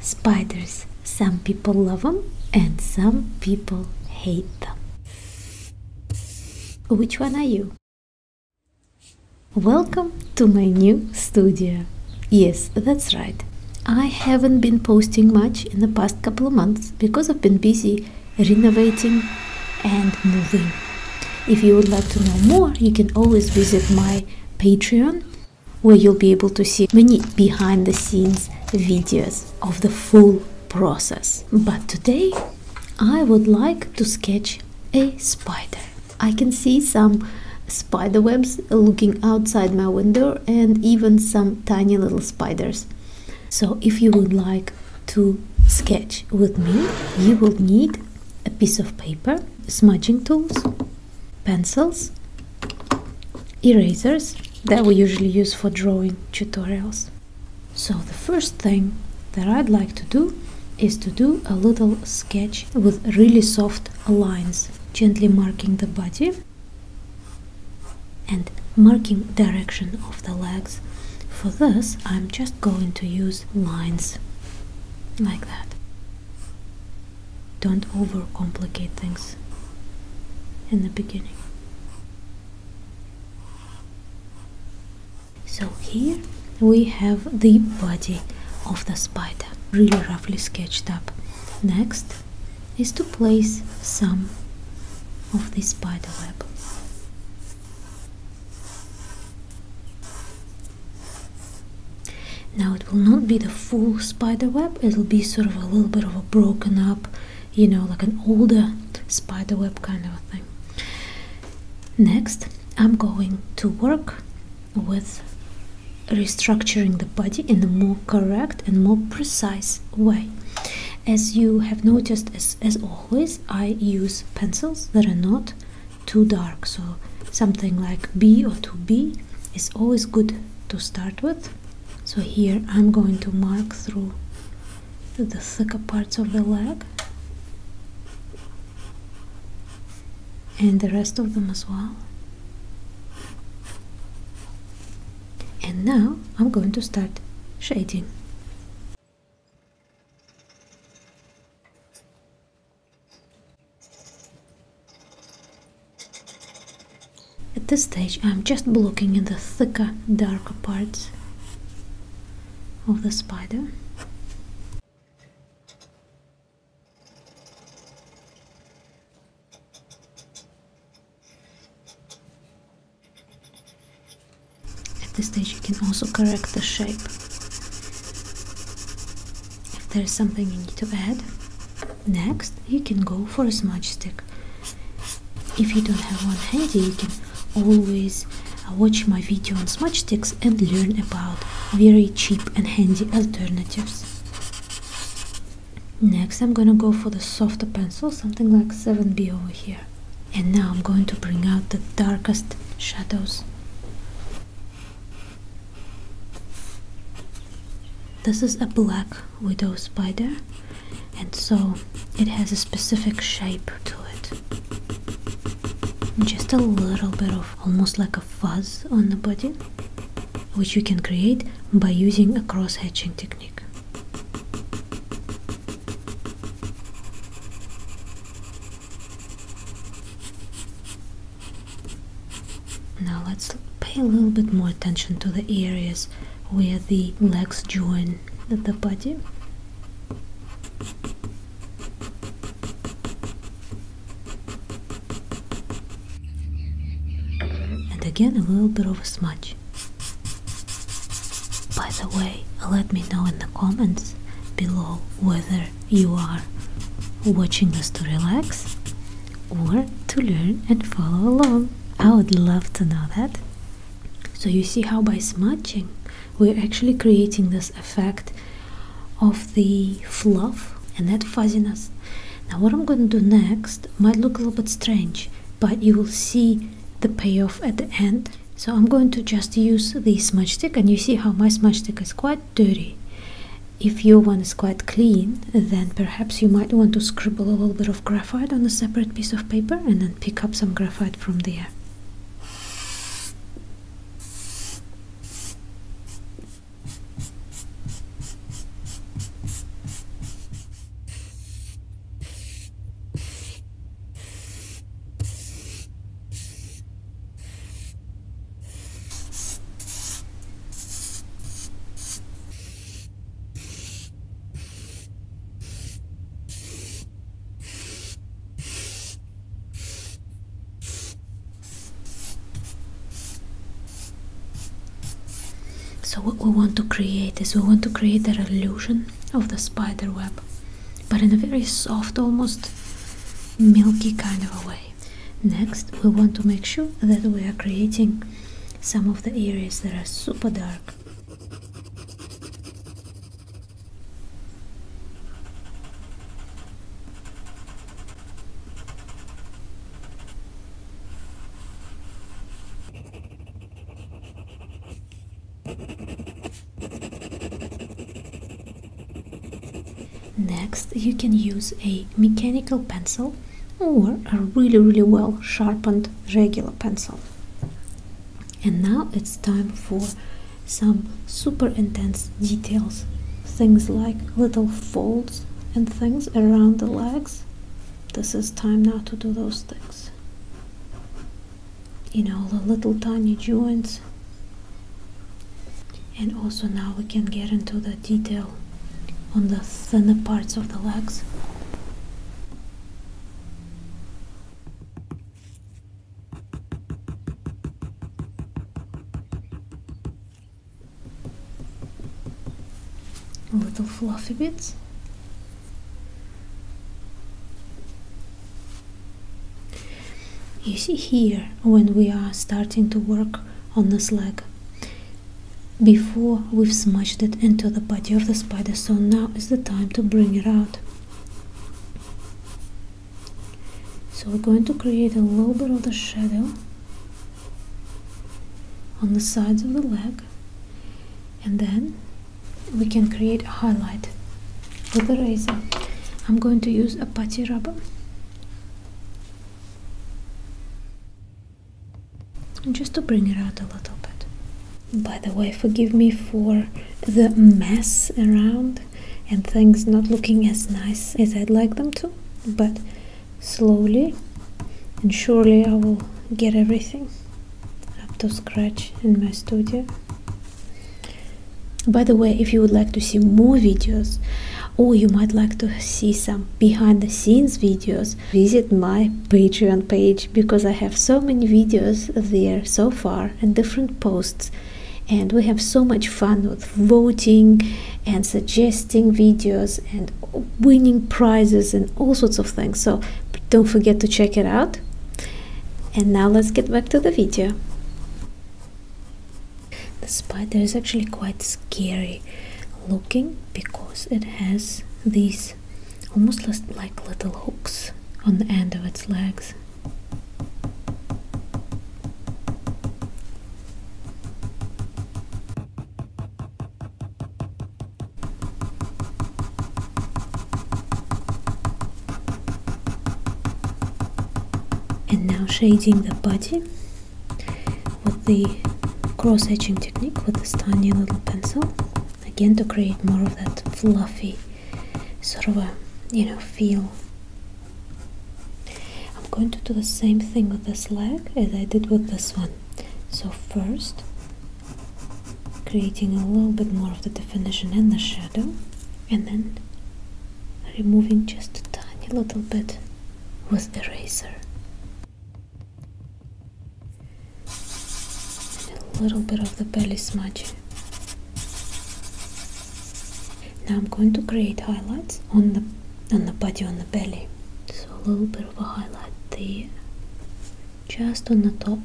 Spiders. Some people love them and some people hate them. Which one are you? Welcome to my new studio. Yes, that's right. I haven't been posting much in the past couple of months because I've been busy renovating and moving. If you would like to know more, you can always visit my Patreon where you'll be able to see many behind the scenes videos of the full process. But today I would like to sketch a spider. I can see some spiderwebs looking outside my window and even some tiny little spiders. So if you would like to sketch with me, you will need a piece of paper, smudging tools, pencils, erasers that we usually use for drawing tutorials. So the first thing that I'd like to do is to do a little sketch with really soft lines, gently marking the body and marking direction of the legs. For this, I'm just going to use lines like that. Don't overcomplicate things in the beginning. So here we have the body of the spider really roughly sketched up. Next is to place some of the spider web. Now it will not be the full spider web, it'll be sort of a little bit of a broken up, you know, like an older spider web kind of thing. Next, I'm going to work with restructuring the body in a more correct and more precise way. As you have noticed, as, as always, I use pencils that are not too dark, so something like B or 2B it's always good to start with so here I'm going to mark through the thicker parts of the leg and the rest of them as well and now I'm going to start shading at this stage I'm just blocking in the thicker, darker parts of the spider. At this stage you can also correct the shape if there's something you need to add, next you can go for a smudge stick. If you don't have one handy, you can always uh, watch my video on smudge sticks and learn about very cheap and handy alternatives. Next I'm gonna go for the softer pencil, something like 7B over here. And now I'm going to bring out the darkest shadows. This is a black widow spider, and so it has a specific shape to it. Just a little bit of almost like a fuzz on the body, which you can create by using a cross hatching technique. Now let's pay a little bit more attention to the areas where the legs join the body. And again, a little bit of a smudge. By the way, let me know in the comments below whether you are watching this to relax or to learn and follow along. I would love to know that. So you see how by smudging we're actually creating this effect of the fluff and that fuzziness. Now what I'm going to do next might look a little bit strange, but you will see the payoff at the end. So I'm going to just use the smudge stick and you see how my smudge stick is quite dirty if your one is quite clean, then perhaps you might want to scribble a little bit of graphite on a separate piece of paper and then pick up some graphite from there. So what we want to create is we want to create that illusion of the spider web, but in a very soft, almost milky kind of a way. Next, we want to make sure that we are creating some of the areas that are super dark. Next, you can use a mechanical pencil or a really really well sharpened regular pencil and now it's time for some super intense details things like little folds and things around the legs this is time now to do those things you know the little tiny joints and also now we can get into the detail on the thinner parts of the legs. Little fluffy bits. You see here when we are starting to work on this leg, before we've smushed it into the body of the spider, so now is the time to bring it out. So we're going to create a little bit of the shadow on the sides of the leg and then we can create a highlight with a razor. I'm going to use a putty rubber just to bring it out a little bit. By the way, forgive me for the mess around and things not looking as nice as I'd like them to, but slowly and surely I will get everything up to scratch in my studio. By the way, if you would like to see more videos or oh, you might like to see some behind the scenes videos, visit my Patreon page because I have so many videos there so far and different posts and we have so much fun with voting and suggesting videos and winning prizes and all sorts of things so don't forget to check it out and now let's get back to the video the spider is actually quite scary looking because it has these almost like little hooks on the end of its legs. And now shading the body with the cross etching technique with this tiny little pencil again to create more of that fluffy sort of a you know feel I'm going to do the same thing with this leg as I did with this one so first creating a little bit more of the definition and the shadow and then removing just a tiny little bit with eraser a little bit of the belly smudge. Now I'm going to create highlights on the on the body on the belly. So a little bit of a highlight there, just on the top.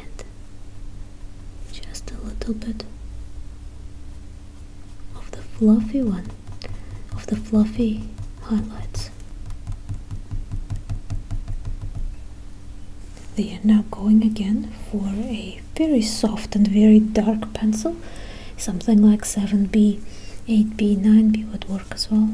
and Just a little bit of the fluffy one of the fluffy highlights. They are now going again for a very soft and very dark pencil. Something like 7B, 8B, 9B would work as well.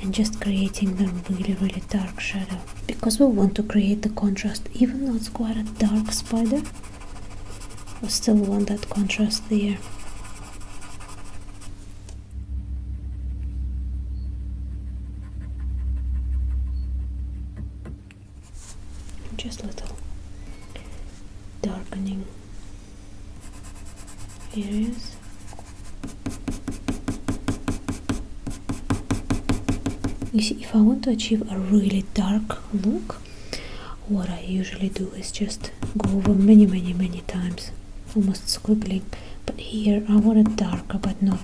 And just creating the really, really dark shadow. Because we want to create the contrast, even though it's quite a dark spider, I still want that contrast there. Just little darkening areas. You see, if I want to achieve a really dark look what I usually do is just go over many many many times almost squiggling but here I want it darker but not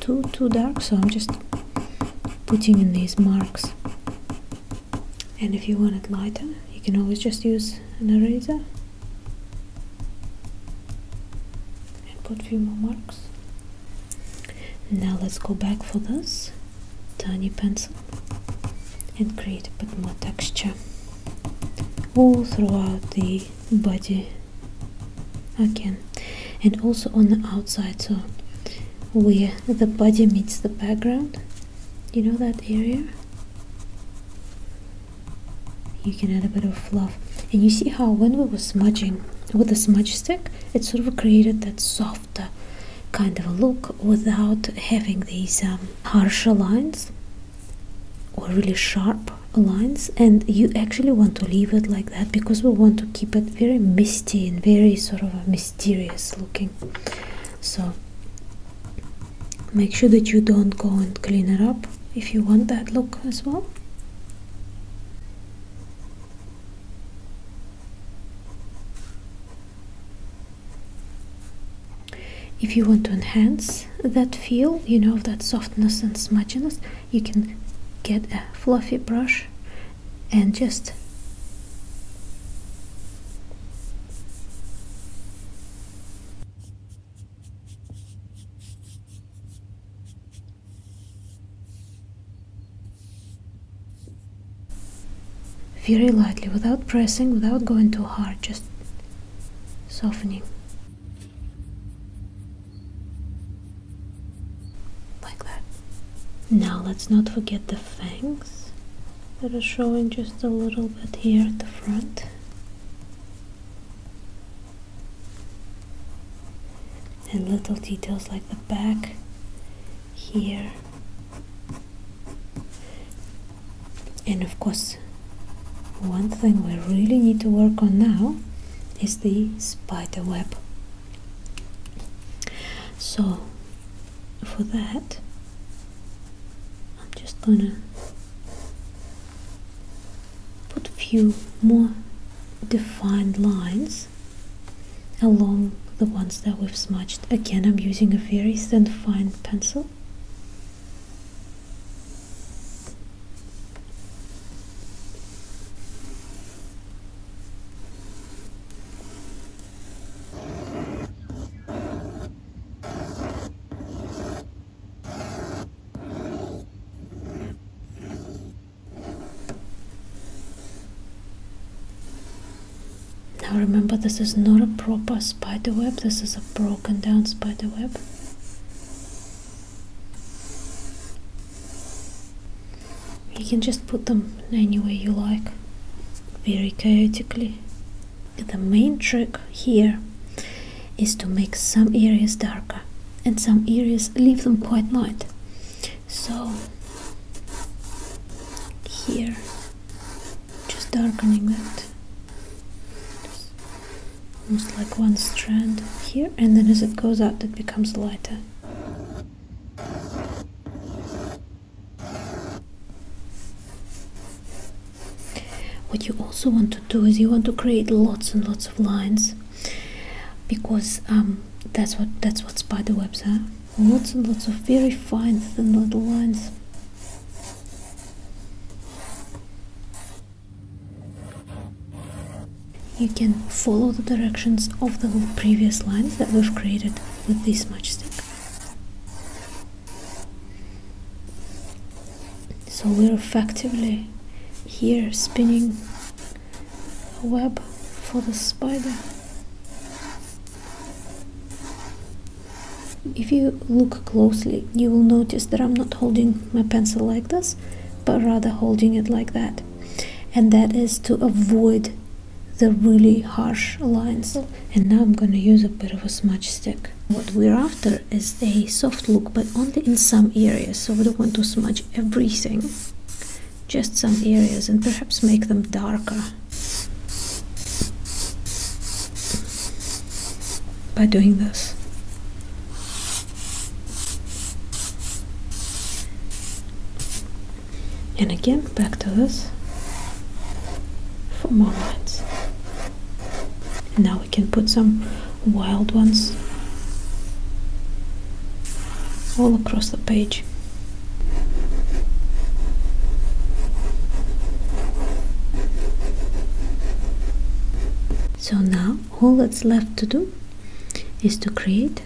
too too dark so I'm just putting in these marks and if you want it lighter you can always just use an eraser and put a few more marks now let's go back for this tiny pencil and create a bit more texture all throughout the body again and also on the outside so where the body meets the background you know that area you can add a bit of fluff and you see how when we were smudging with the smudge stick it sort of created that soft soft kind of a look without having these um, harsher lines or really sharp lines and you actually want to leave it like that because we want to keep it very misty and very sort of mysterious looking so make sure that you don't go and clean it up if you want that look as well if you want to enhance that feel, you know, that softness and smudginess, you can get a fluffy brush and just very lightly, without pressing, without going too hard, just softening. Like that. Now let's not forget the fangs that are showing just a little bit here at the front. and little details like the back here and of course one thing we really need to work on now is the spider web so for that I'm just gonna put a few more defined lines along the ones that we've smudged. Again, I'm using a very thin fine pencil. Now remember this is not a proper spider web, this is a broken down spider web. You can just put them any way you like, very chaotically. The main trick here is to make some areas darker and some areas leave them quite light so here just darkening it almost like one strand here and then as it goes out it becomes lighter what you also want to do is you want to create lots and lots of lines because um, that's what that's what spider webs are lots and lots of very fine thin little lines. You can follow the directions of the previous lines that we've created with this matchstick. So we're effectively here spinning a web for the spider. If you look closely, you will notice that I'm not holding my pencil like this, but rather holding it like that. And that is to avoid the really harsh lines. And now I'm going to use a bit of a smudge stick. What we're after is a soft look, but only in some areas. So we don't want to smudge everything just some areas and perhaps make them darker by doing this. And again, back to this for more lines. Now we can put some wild ones all across the page. So now all that's left to do is to create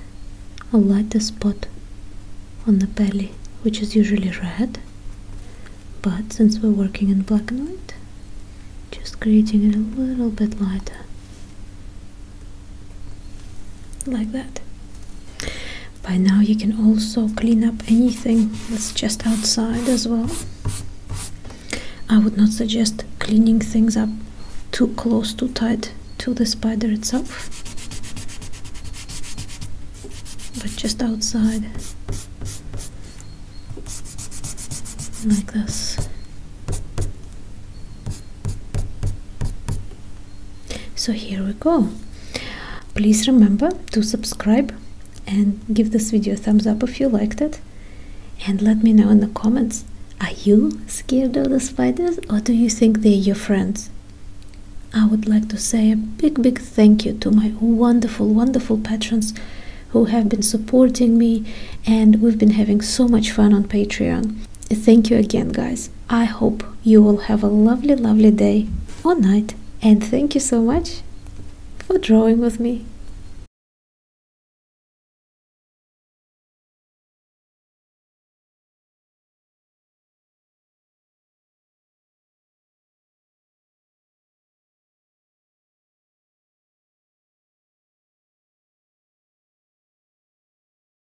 a lighter spot on the belly which is usually red but since we're working in black and white just creating it a little bit lighter like that by now you can also clean up anything that's just outside as well i would not suggest cleaning things up too close too tight to the spider itself but just outside like this so here we go please remember to subscribe and give this video a thumbs up if you liked it and let me know in the comments are you scared of the spiders or do you think they're your friends i would like to say a big big thank you to my wonderful wonderful patrons who have been supporting me and we've been having so much fun on patreon Thank you again, guys. I hope you will have a lovely, lovely day or night. And thank you so much for drawing with me.